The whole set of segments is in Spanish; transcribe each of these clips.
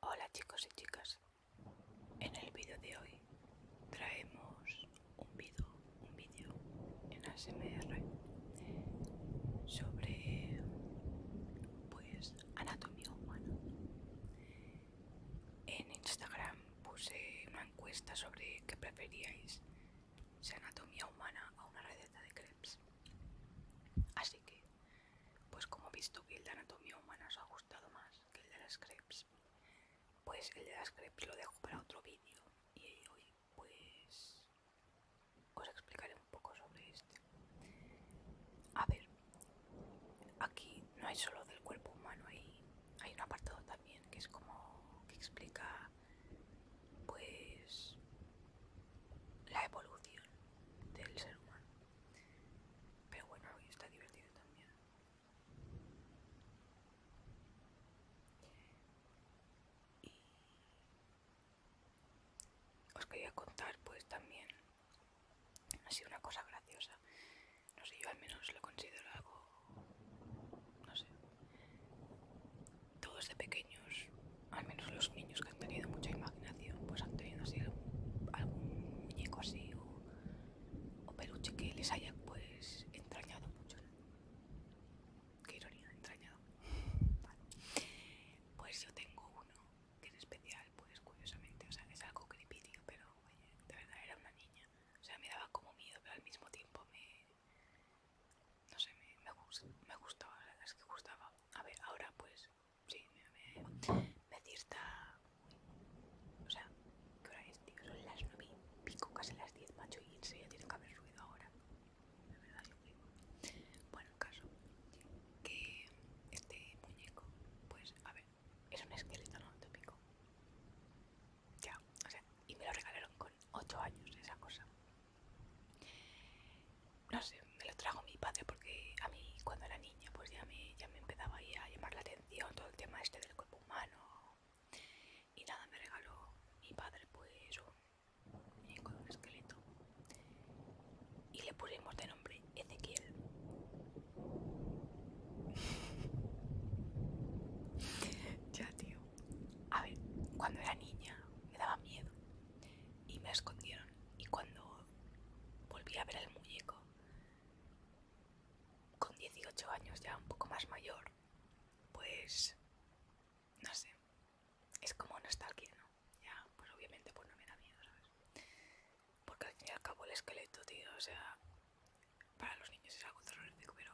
Hola chicos y chicas, en el vídeo de hoy traemos un vídeo un vídeo en ASMR sobre pues anatomía humana. En Instagram puse una encuesta sobre qué preferíais, anatomía humana o una receta de crepes. Así que pues como he visto que el de anatomía humana os ha gustado más que el de las crepes, pues el de las crepes lo dejo para otro vídeo y hoy pues os explicaré un poco sobre este. A ver, aquí no hay solo del cuerpo humano, hay, hay un apartado también que es como que explica pues la evolución del ser humano pero bueno, hoy está divertido también. Y os quería contar pues también ha sido una cosa graciosa. No sé, yo al menos lo considero algo. No sé. Todos de pequeños, al menos los niños han tenido mucha imaginación pues han tenido algún muñeco así o, peluche que les haya pues entrañado mucho. Qué ironía, entrañado. Pues yo tengo uno que es especial, pues curiosamente, o sea, es algo creepy, pero oye, de verdad era una niña. O sea, me daba como miedo, pero al mismo tiempo me... No sé, me, me, gustaba, es que gustaba. A ver, ahora pues sí, me, me, me O sea, ¿qué hora es, tío? Son las 9 y pico, casi las 10, macho, y se ya tiene que haber ruido ahora. De verdad, Bueno, el caso, que este muñeco, pues, a ver, es un esqueleto no Ya, o sea, y me lo regalaron con 8 años, esa cosa no sé, me lo trajo mi padre porque a mí cuando era niña pues ya me, ya me empezaba a llamar la atención todo el tema este del cuerpo humano y nada, me regaló mi padre pues un, eh, esqueleto y le pusimos de nombre Ezequiel. ya tío, a ver, cuando era niña me daba miedo y me escondieron y cuando volví a ver al muñeco. Con 18 años ya un poco más mayor, pues no sé, es como nostalgia, ¿no? Ya, pues obviamente pues no me da miedo, ¿sabes? Porque al fin y al cabo el esqueleto, tío, o sea, para los niños es algo terrorífico, pero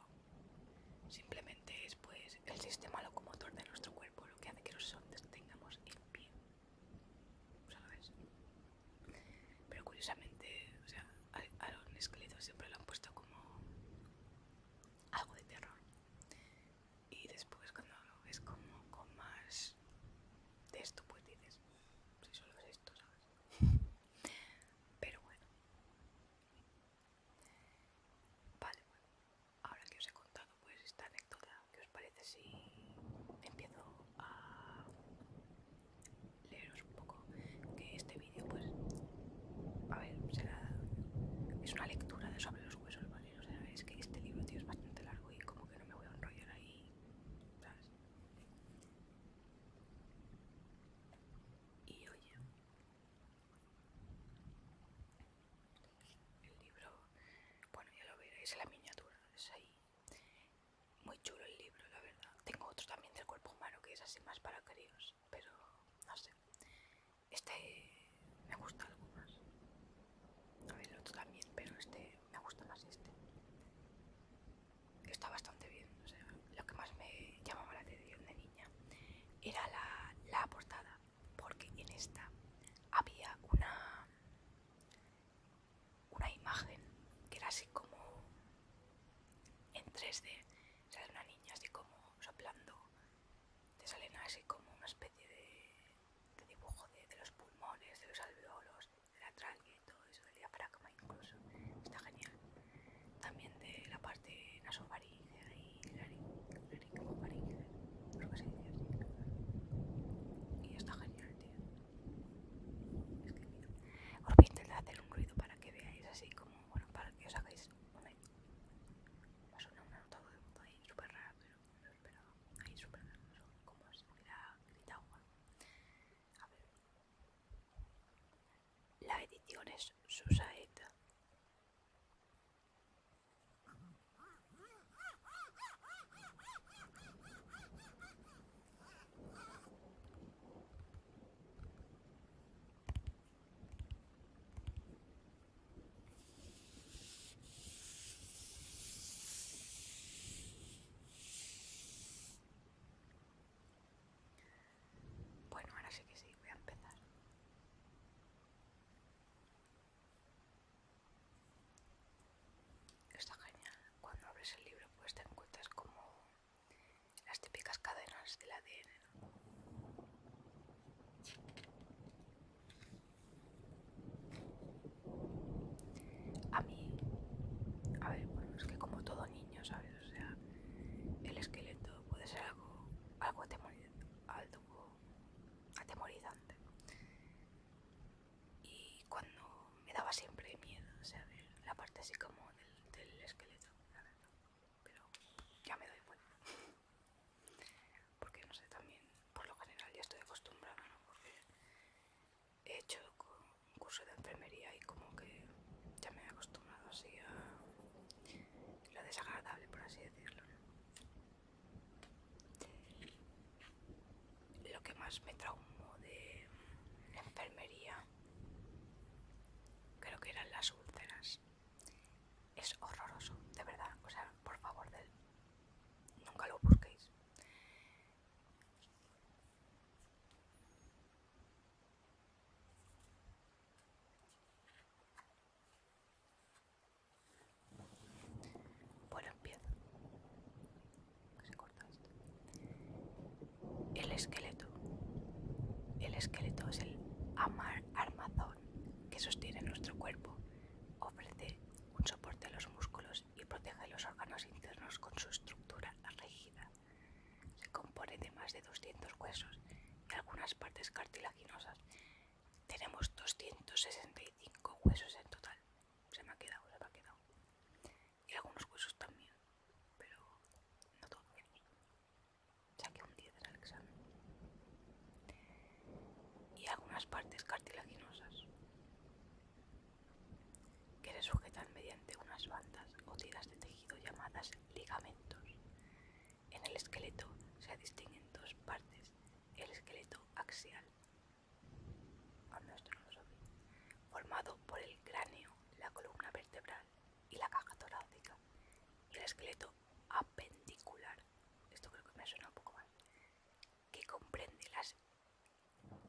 simplemente es pues el sistema locomotor de nuestro cuerpo lo que hace que los nosotros tengamos el pie. Pero curiosamente, o sea, a, los esqueletos siempre lo han puesto como algo de terror. Y después cuando lo ves como con más de esto, pues dices, si solo es esto, ¿sabes? Pero bueno. Vale, bueno, ahora que os he contado pues esta anécdota. ¿Qué os parece si empiezo a leeros un poco? Que este vídeo pues, a ver, será, es una lectura de sobre los huesos, ¿vale? O sea, es que este libro, tío, es bastante largo y como que no me voy a enrollar ahí, Y oye, el libro, bueno, ya lo veréis en la miniatura, es ahí. Muy chulo el libro, la verdad. Tengo otro también del cuerpo humano que es así más para críos, pero no sé. Este me gusta algo más. A ver, el otro también, pero este me gusta más este. Está bastante bien, lo que más me llamaba la atención de niña era la, la portada, porque en esta había una una imagen que era así como en 3D, sale una niña así como soplando, te salen así como una especie de, dibujo de, los pulmones, de los alveolos, de la tráquea y todo eso, del diafragma incluso, está genial. También de la parte nasofaringea y laringofaringea, creo que se dice así, y está genial. Es Os voy a intentar hacer un ruido para que veáis así como, bueno, para que os hagáis una, va a sonar una nota de voz ahí súper rara, pero no lo esperaba. Ahí súper rara, como si hubiera gritado agua. A ver. La edición es Susaeta. Bueno, ahora sí que sí, voy a empezar. Está genial. Cuando abres el libro pues te encuentras como las típicas cadenas del ADN. A mí, a ver, bueno, es que como todo niño, ¿sabes? O sea, el esqueleto puede ser algo, algo algo atemorizante y cuando me daba siempre miedo, o sea, la parte así como del, del esqueleto, Pero ya me doy cuenta. Porque no sé, también por lo general ya estoy acostumbrada, ¿no? Porque he hecho un curso de enfermería y como que ya me he acostumbrado así a lo desagradable, por así decirlo, lo que más me traumó de la enfermería creo que eran las úlceras. Es horroroso, de verdad. O sea, por favor, nunca lo busquéis. Bueno, empiezo. El esqueleto. El esqueleto es el armazón que sostiene nuestro cuerpo. Ofrece un soporte a los músculos y protege los órganos internos con su estructura rígida. Se compone de más de 200 huesos y algunas partes cartilaginosas. Tenemos 265 huesos en total, se me ha quedado, se me ha quedado. Y algunos huesos también, pero no todos. Saqué un 10 al examen. Y algunas partes cartilaginosas que se sujetan mediante unas bandas o tiras de tejido llamadas ligamentos. En el esqueleto se distinguen dos partes, el esqueleto axial Formado por el cráneo, la columna vertebral y la caja torácica. Y el esqueleto apendicular. Esto creo que me suena un poco mal. Que comprende las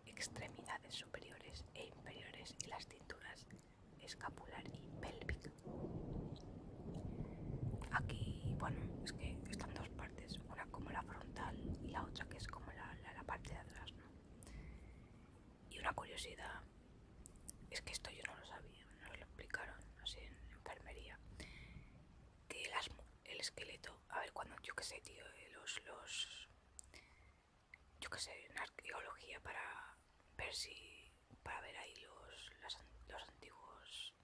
extremidades superiores e inferiores y las cinturas escapular y pélvica. Aquí, bueno, es que están dos partes como la frontal y la otra que es como la, parte de atrás, ¿no? Y una curiosidad es que esto yo no lo sabía, no lo explicaron así en enfermería, que el esqueleto, a ver, cuando yo que sé, tío, eh, los, los, yo que sé, en arqueología para ver si, para ver ahí los, los antiguos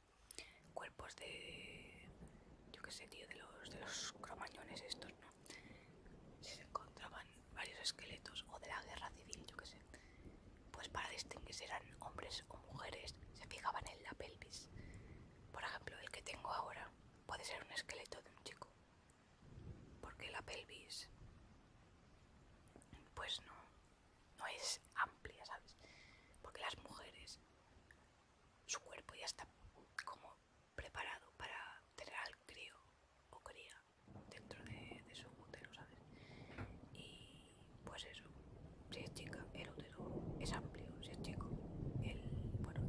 cuerpos de. Yo qué sé, tío, de los, de los cromañones estos, ¿no? Si se encontraban varios esqueletos o de la guerra civil, yo que sé. Pues para distinguir si eran hombres o mujeres, se fijaban en la pelvis. Por ejemplo, el que tengo ahora puede ser un esqueleto de un chico. Porque la pelvis. Pues no. No es amplia, ¿sabes? Porque las mujeres su cuerpo ya está como preparado para tener al crío o cría dentro de, su útero, ¿sabes? Y pues eso, si es chica, el útero es amplio, si es chico, el, bueno,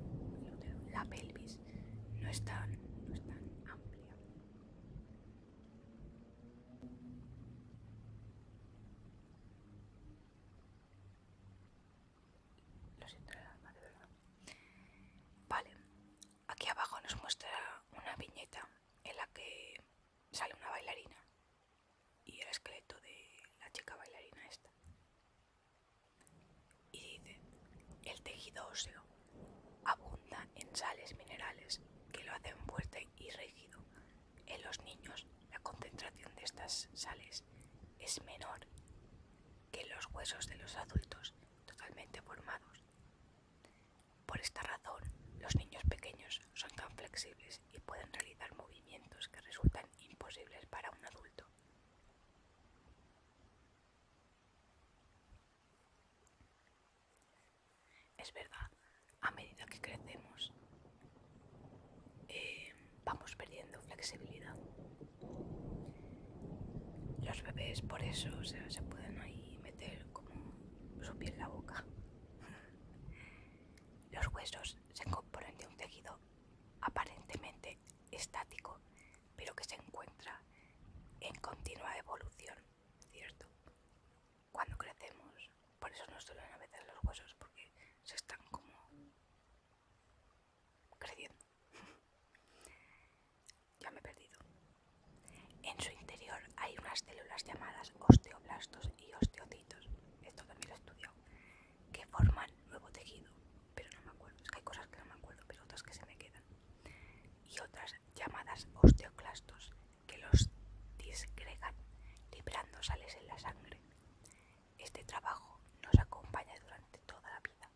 el útero, la pelvis no no es tan amplia. Lo siento de verdad. Vale, aquí abajo nos muestra una viñeta en la que sale una bailarina y el esqueleto de la chica bailarina esta. Y dice, el tejido óseo abunda en sales minerales que lo hacen fuerte y rígido en los niños, la concentración de estas sales es menor que en los huesos de los adultos totalmente formados. Por esta razón, los niños pequeños son tan flexibles y pueden realizar movimientos que resultan imposibles para un adulto. Es verdad, a medida que crecemos, eh, vamos perdiendo flexibilidad. Los bebés por eso se pueden ahí meter como su piel en la boca. Los huesos se componen de un tejido aparentemente estático, pero que se encuentra en continua evolución, ¿cierto? Cuando crecemos, por eso nos duelen a veces los huesos, porque se están como creciendo. ya me he perdido. En su interior hay unas células llamadas osteoblastos y osteocitos, esto también lo he estudiado, que forman nuevo tejido, pero no me acuerdo, es que hay cosas que no me acuerdo, pero otras que se me quedan. Y otras llamadas osteoclastos que los disgregan, liberando sales en la sangre. Este trabajo nos acompaña durante toda la vida.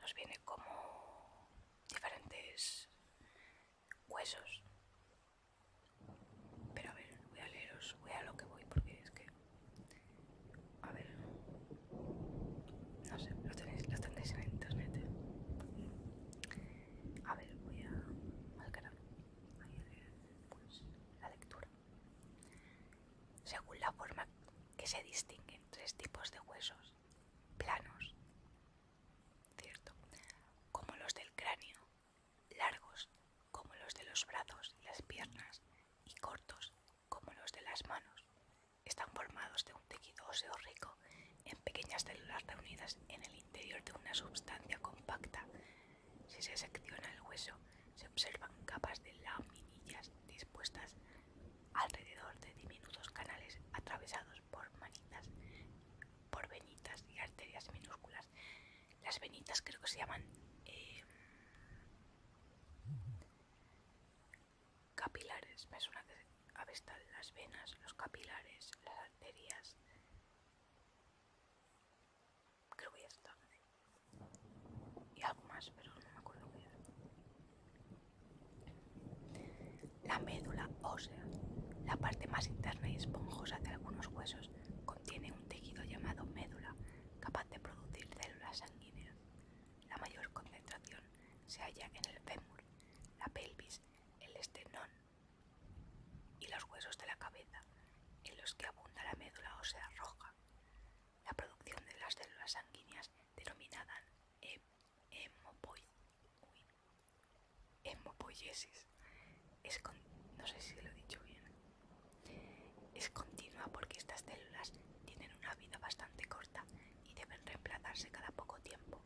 Nos viene como diferentes huesos. Pero a ver, voy a leeros, voy a lo que voy porque es que... A ver... No sé, los tenéis, los tendréis en internet. ¿eh? A ver, voy a... al la lectura. Según la forma que se distinguen tres tipos de huesos, planos, cierto, como los del cráneo, largos, como los de los brazos y las piernas, y cortos, como los de las manos, están formados de un tejido óseo rico en pequeñas células reunidas en el interior de una sustancia compacta. Si se secciona el hueso, se observan capas de laminillas dispuestas alrededor de diminutos canales atravesados por manitas, por venitas y arterias minúsculas. Las venitas creo que se llaman em, capilares. Me suena a ver, están las venas, los capilares, las arterias. Creo que Y algo más, pero no me acuerdo La médula ósea, la parte más interna y esponjosa de algunos huesos, contiene un tejido llamado médula, capaz de producir células sanguíneas. La mayor concentración se halla en el fémur, la pelvis, el estenón, y los huesos de la cabeza, en los que abunda la médula ósea roja. La producción de las células sanguíneas denominadas hemopoiesis es no sé si lo he dicho bien. Es continua porque estas células tienen una vida bastante corta y deben reemplazarse cada poco tiempo.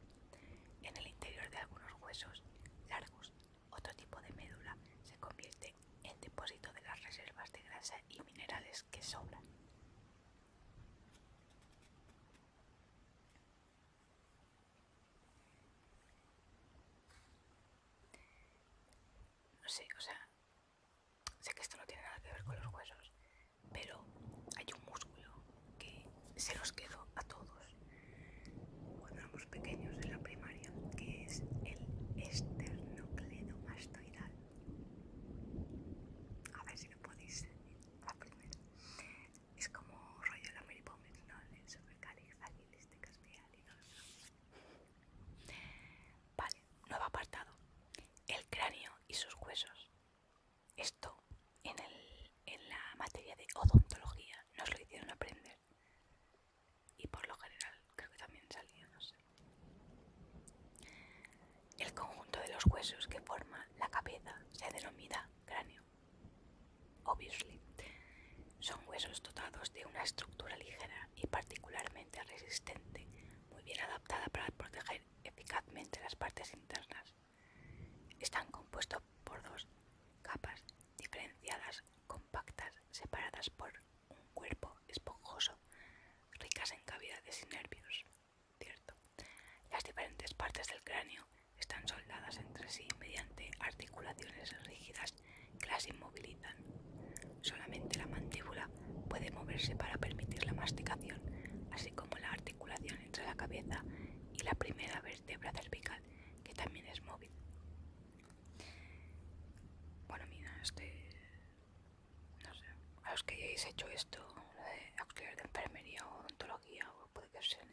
En el interior de algunos huesos largos otro tipo de médula se convierte en depósito de las reservas de grasa y minerales que sobran. No sé, o sea, sé que esto no tiene nada que ver con los huesos, pero hay un músculo que se los quedó a todos cuando éramos pequeños en la primaria, que es el esternocleidomastoidal. A ver si lo podéis la primera. Es como rollo de la Mary Poppins, ¿no? El supercalifragilisticaspial y lo Vale, nuevo apartado. El cráneo y sus huesos. Esto en, la materia de odontología nos lo hicieron aprender y por lo general creo que también salía, no sé. El conjunto de los huesos que forma la cabeza se denomina cráneo. Obviously, son huesos dotados de una estructura ligera y particularmente resistente, muy bien adaptada para proteger eficazmente las partes internas. Están compuestos por dos capas diferenciadas, compactas, separadas por un cuerpo esponjoso, ricas en cavidades y nervios. Las diferentes partes del cráneo están soldadas entre sí mediante articulaciones rígidas que las inmovilizan. Solamente la mandíbula puede moverse para permitir la masticación, así como la articulación entre la cabeza y la primera vértebra cervical que también es móvil. Bueno, mira, este. No sé. A los que hayáis hecho esto, de auxiliar de enfermería o odontología, o puede que sea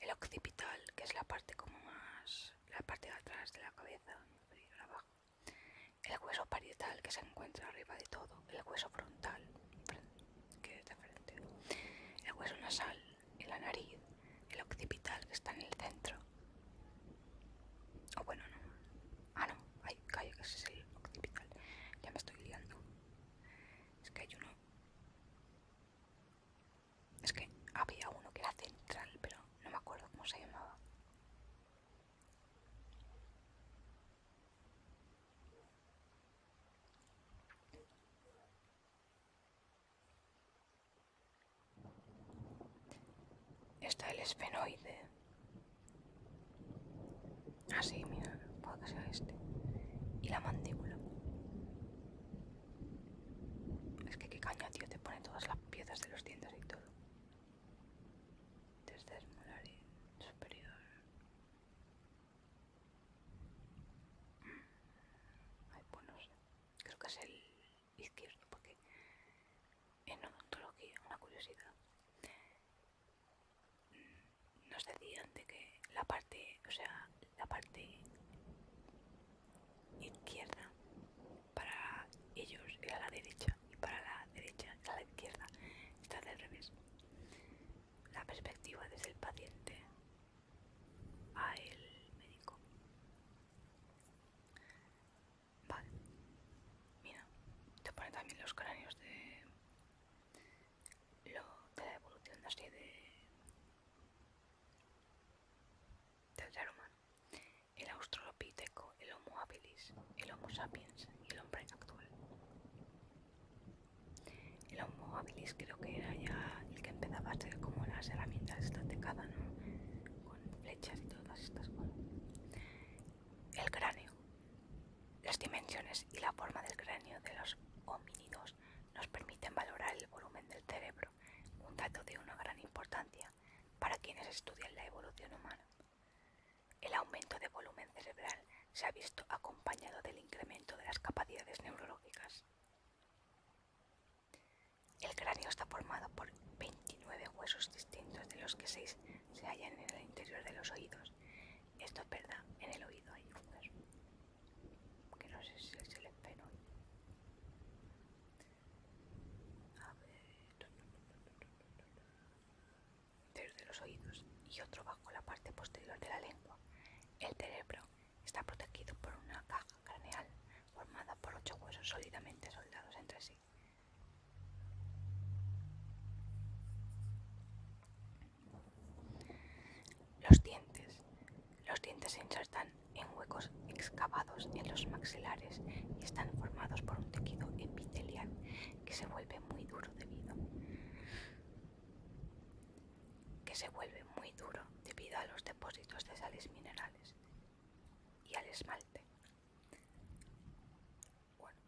el occipital, que es la parte como más. la parte de atrás de la cabeza, El hueso parietal, que se encuentra arriba de todo. El hueso frontal, que es de frente. El hueso nasal, y la nariz, el occipital que está en el centro. O bueno, no. Ah, no. hay calle que ese es el occipital. Ya me estoy liando. Es que hay uno. Es que había uno que era central, pero no me acuerdo cómo se llamaba. Está el esfenoide. Así, ah, mira, puede que sea este. Y la mandíbula. Es que qué caña, tío, te pone todas las piezas de los dientes y todo. Desde el superior. Creo que es el izquierdo, porque en odontología, una curiosidad, nos decían de que la parte, o sea, la parte izquierda para ellos era la derecha y para la derecha era la izquierda. Está al revés. La perspectiva desde el paciente a el médico. Vale. Mira, te pone también los cráneos de, lo, de la evolución de, del ser humano. El australopiteco, el homo habilis, el homo sapiens y el hombre actual. El Homo habilis creo que era ya el que empezaba a ser como las herramientas estas de ¿no? Con flechas y todas estas cosas. El cráneo. Las dimensiones y la forma del cráneo de los homínidos nos permiten valorar el volumen del cerebro, un dato de una gran importancia para quienes estudian la evolución humana. El aumento de volumen cerebral se ha visto acompañado del incremento de las capacidades neurológicas. El cráneo está formado por 29 huesos distintos, de los que 6 se hallan en el interior de los oídos. Esto es verdad, en el oído hay un que no sé si es el enfermo. A ver... Interior de los oídos y otro bajo la parte posterior de la lengua. El cerebro está protegido por una caja craneal formada por ocho huesos sólidamente soldados entre sí. Los dientes. Los dientes se insertan en huecos excavados en los maxilares y están formados por un tejido epitelial que se vuelve muy duro debido que se vuelve muy duro debido a los depósitos de sales minerales y al esmalte. Bueno,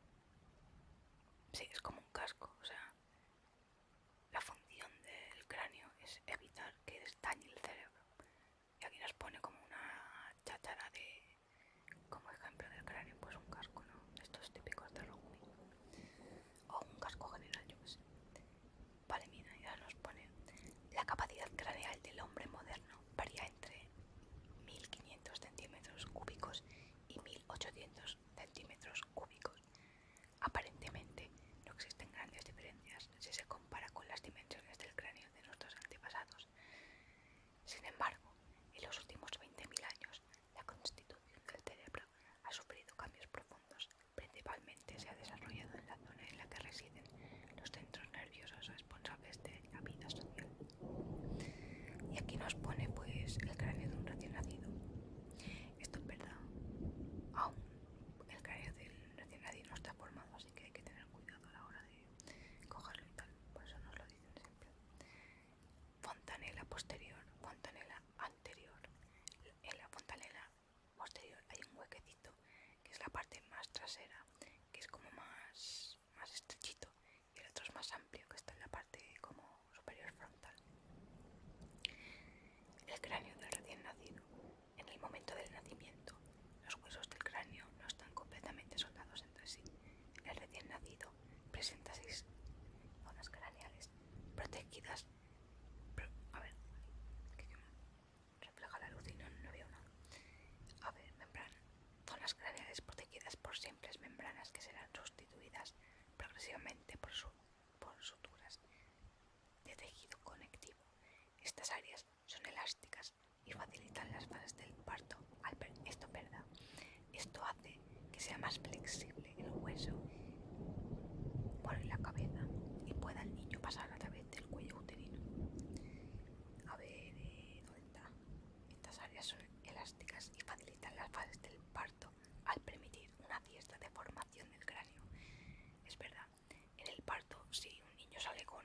sí, es como un casco, o sea, la función del cráneo es evitar que dañe el cerebro. Y aquí nos pone como una chatara de, como ejemplo del cráneo, pues un casco, ¿no? Estos típicos de rugby. O un casco general, yo sé ya nos pone la capacidad craneal del hombre moderno varía entre 1500 centímetros cúbicos y 1800 centímetros cúbicos. Aparentemente no existen grandes diferencias si se compara con las dimensiones del cráneo de nuestros antepasados. Sin embargo, en los últimos 20.000 años, la constitución del cerebro ha sufrido cambios profundos Principalmente se ha desarrollado en la zona en la que residen los centros nerviosos responsables de la vida social. Y aquí nos pone pues el cráneo de un recién nacido. Esto es verdad. Aún el cráneo del recién nacido no está formado, así que hay que tener cuidado a la hora de cogerlo y tal. Por eso nos lo dicen siempre. Fontanela posterior, fontanela anterior. En la fontanela posterior hay un huequecito que es la parte más trasera, que es como más, más estrechito, y el otro es más amplio, que está en la parte como superior frontal. El cráneo del recién nacido. En el momento del nacimiento, los huesos del cráneo no están completamente soldados entre sí. El recién nacido presenta seis zonas craneales protegidas a ver, refleja la luz y no, veo nada. A ver, membrana. Zonas protegidas por simples membranas que serán sustituidas progresivamente por, por suturas de tejido conectivo. Estas áreas son elásticas y facilitan las fases del parto. esto, Esto hace que sea más flexible el hueso por la cabeza y pueda el niño pasar a través del cuello uterino. A ver, eh, ¿dónde está? Estas áreas son elásticas y facilitan las fases del parto al permitir una fiesta de formación del cráneo. Es verdad, en el parto si un niño sale con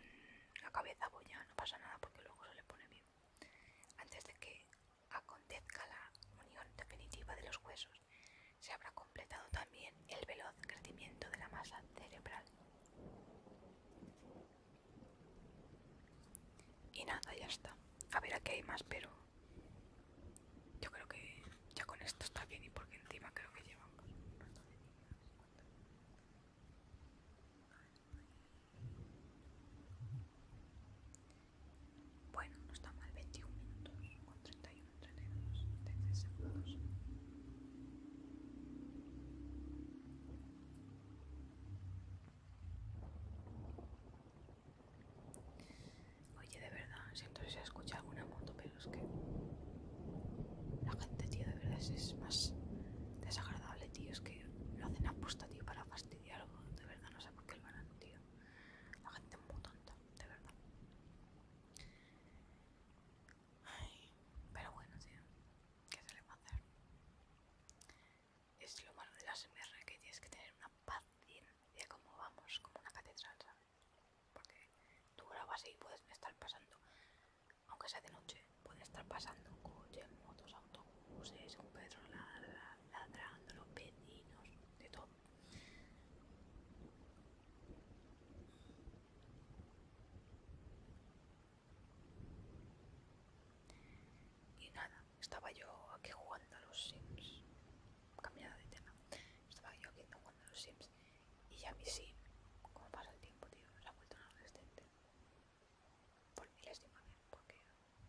la cabeza boya no pasa nada porque luego se le pone bien. Antes de que acontezca la unión definitiva de los huesos, se habrá completado también el veloz crecimiento de la masa cerebral. Y nada, ya está. A ver, aquí hay más, pero yo creo que ya con esto está bien y porque encima creo que llevamos un rato de bueno, no está mal, 21 minutos con 31, 32, 33 segundos. Oye, de verdad, siento si se escucha alguna moto, pero es que la gente, tío, de verdad es más desagradable, tío. Es que lo hacen a aposta, tío, para fastidiar. De verdad, no sé por qué el harán, tío. La gente es muy tonta, de verdad pero bueno, sí ¿qué se le va a hacer? Es lo malo de la MR que tienes que tener una paciencia como vamos, como una catedral, ¿sabes? Porque tú grabas y puedes estar pasando, aunque sea de noche, puedes estar pasando coches, motos, autobuses, un pedro ladrando, los vecinos, de todo. Y nada, estaba yo aquí jugando a los Sims. Cambiada de tema. Estaba yo aquí jugando a los Sims. Y ya mi Sim, como pasa el tiempo, tío, se ha vuelto un adolescente. Por milésima vez, porque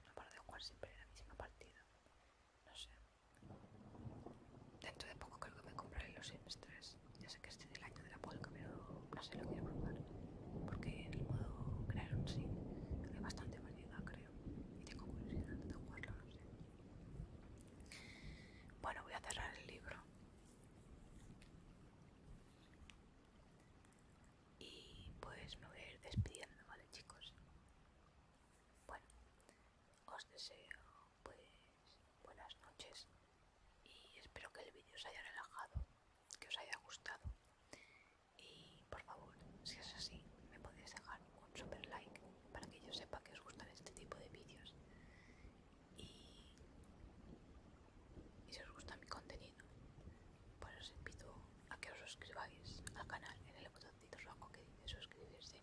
no paro de jugar siempre en la misma partida. No sé. Dentro de poco creo que me compraré los Sims Ya sé que este es el año de la polca, pero no sé lo voy a probar. Porque el modo crear un sim es bastante variedad, creo. Y tengo curiosidad de jugarlo, no sé. Bueno, voy a cerrar el libro. Y pues me voy a ir despidiendo, ¿vale, chicos? Bueno, os deseo pues buenas noches y espero que el vídeo os haya relajado, que os haya gustado y por favor, si es así, me podéis dejar un super like para que yo sepa que os gustan este tipo de vídeos y, si os gusta mi contenido, pues os invito a que os suscribáis al canal en el botoncito rojo que dice suscribirse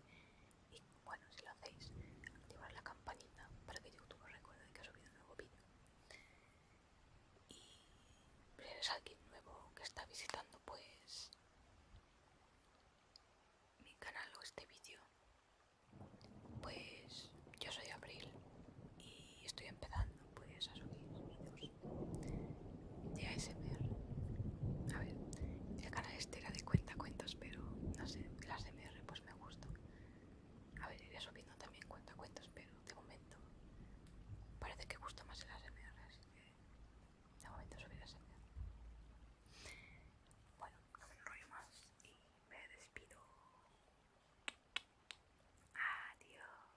bueno, si lo hacéis, activar la campanita para que YouTube os recuerde que ha subido un nuevo vídeo. Y si eres alguien nuevo que está visitando, pues mi canal o este vídeo, pues yo soy Abril y estoy empezando pues a subir vídeos de ASMR. A ver, el canal este era de cuentas pero no sé, las MR pues me gustó. A ver, iré subiendo también cuenta cuentas pero de momento parece que gusta más el ASMR, así que de momento subiré MR Bueno, no me enrollo más y me despido. Adiós.